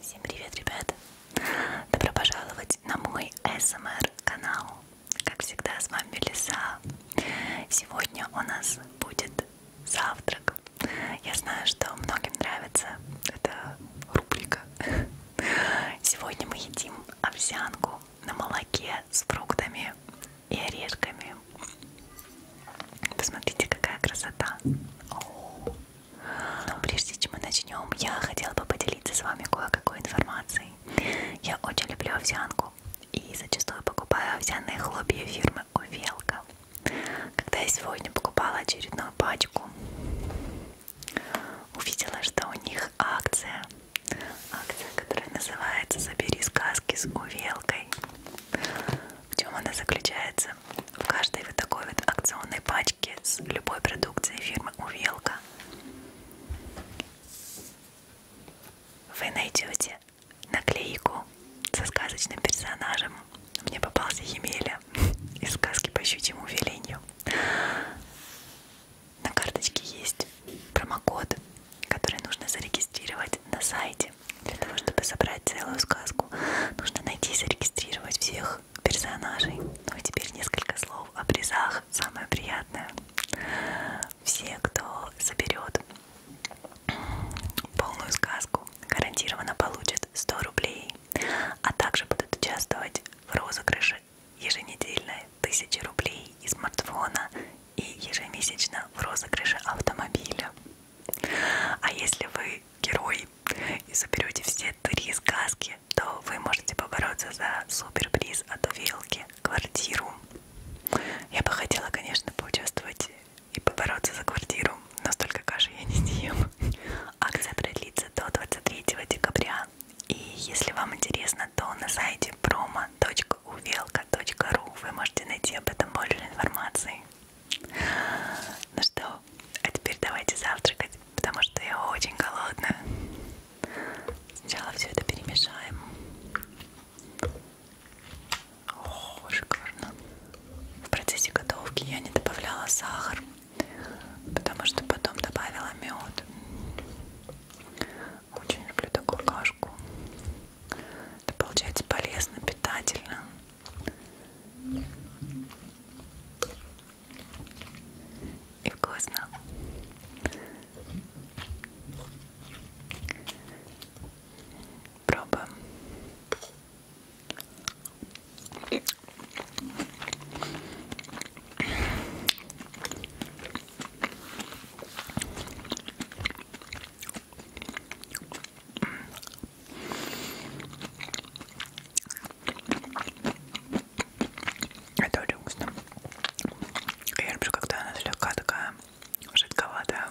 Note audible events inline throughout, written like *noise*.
Всем привет, ребят! Добро пожаловать на мой СМР канал. Как всегда, с вами Лиса. Сегодня у нас будет завтрак. Я знаю, что многим нравится эта рубрика. Сегодня мы едим овсянку на молоке с фруктами и орешками. Посмотрите, какая красота. О. Но прежде чем мы начнем, я хотела бы поделиться с вами кое-какой информацией. Я очень люблю овсянку и зачастую покупаю овсяные хлопья фирмы Увелка. Когда я сегодня покупала очередную пачку, увидела, что у них акция. Акция, которая называется «Забери сказки с увелкой». В чем она заключается? В каждой вот такой вот акционной пачке с любой продукцией фирмы «Увелка» вы найдете наклейку со сказочным персонажем. Мне попался Емеля. Д из сказки по щучьему велению. На карточке есть промокод, который нужно зарегистрировать на сайте. Для того, чтобы собрать целую сказку, нужно найти и зарегистрировать всех персонажей. Ну и теперь несколько слов о призах. Самое приятное. Все, кто соберет полную сказку, гарантированно получат 100 рублей а также будут участвовать в розыгрыше еженедельной тысячи рублей и смартфона и ежемесячно в розыгрыше автомобиля. А если вы герой и соберете все три сказки, то вы можете побороться за суперприз от Увелки, квартиру. Я бы хотела, конечно, поучаствовать и побороться за квартиру. Настолько каши я не съем. *laughs* Акция продлится до 23 декабря. И если вам интересно, то на сайте promo.uvelka.ru вы можете найти об этом больше информации. Ну что, а теперь давайте завтракать, потому что я очень голодная. Сначала все это перемешаем. О, шикарно. В процессе готовки я не добавляла сахар, потому что потом добавила мед. Очень люблю такую кашку. Это получается полезно, питательно. И вкусно. Пробуем. Это очень вкусно. Я люблю, когда она слегка такая жидковатая.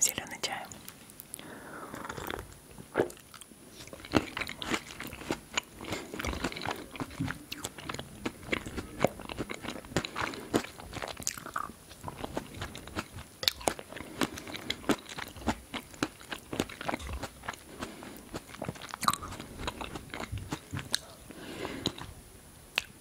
зеленый чай.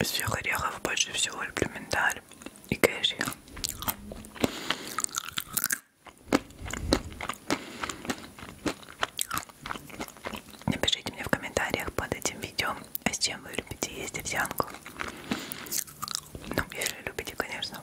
Из всех орехов больше всего люблю миндаль и кэши. Напишите мне в комментариях под этим видео, а с чем вы любите есть овсянку. Ну, если любите, конечно.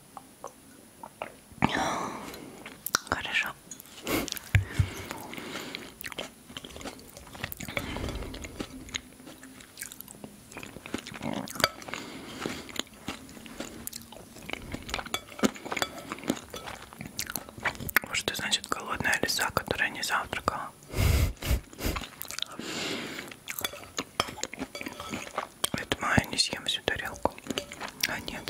Хорошо. Вот что значит голодная лиса, которая не завтракала. Это моя, не съем всю тарелку. А нет.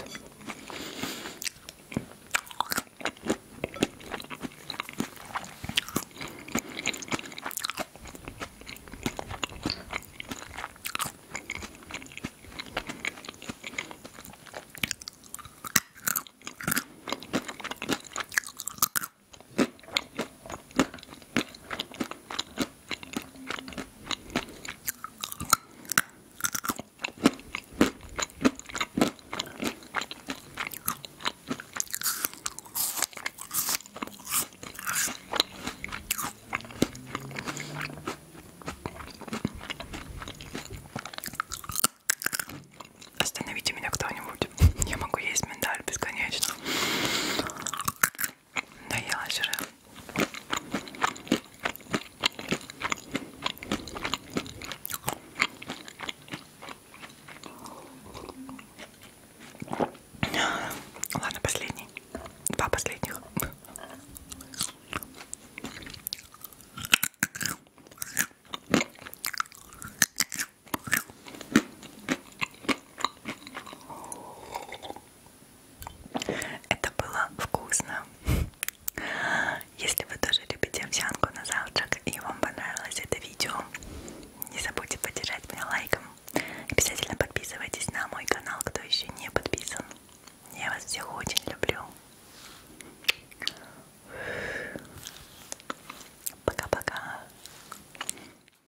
Остановите меня кто-нибудь. *laughs* Я могу есть миндаль бесконечно. Наелась уже. Ладно, последний. Два последних. Это было вкусно. Если вы тоже любите овсянку на завтрак и вам понравилось это видео, не забудьте поддержать меня лайком. Обязательно подписывайтесь на мой канал, кто еще не подписан. Я вас всех очень люблю. Пока-пока.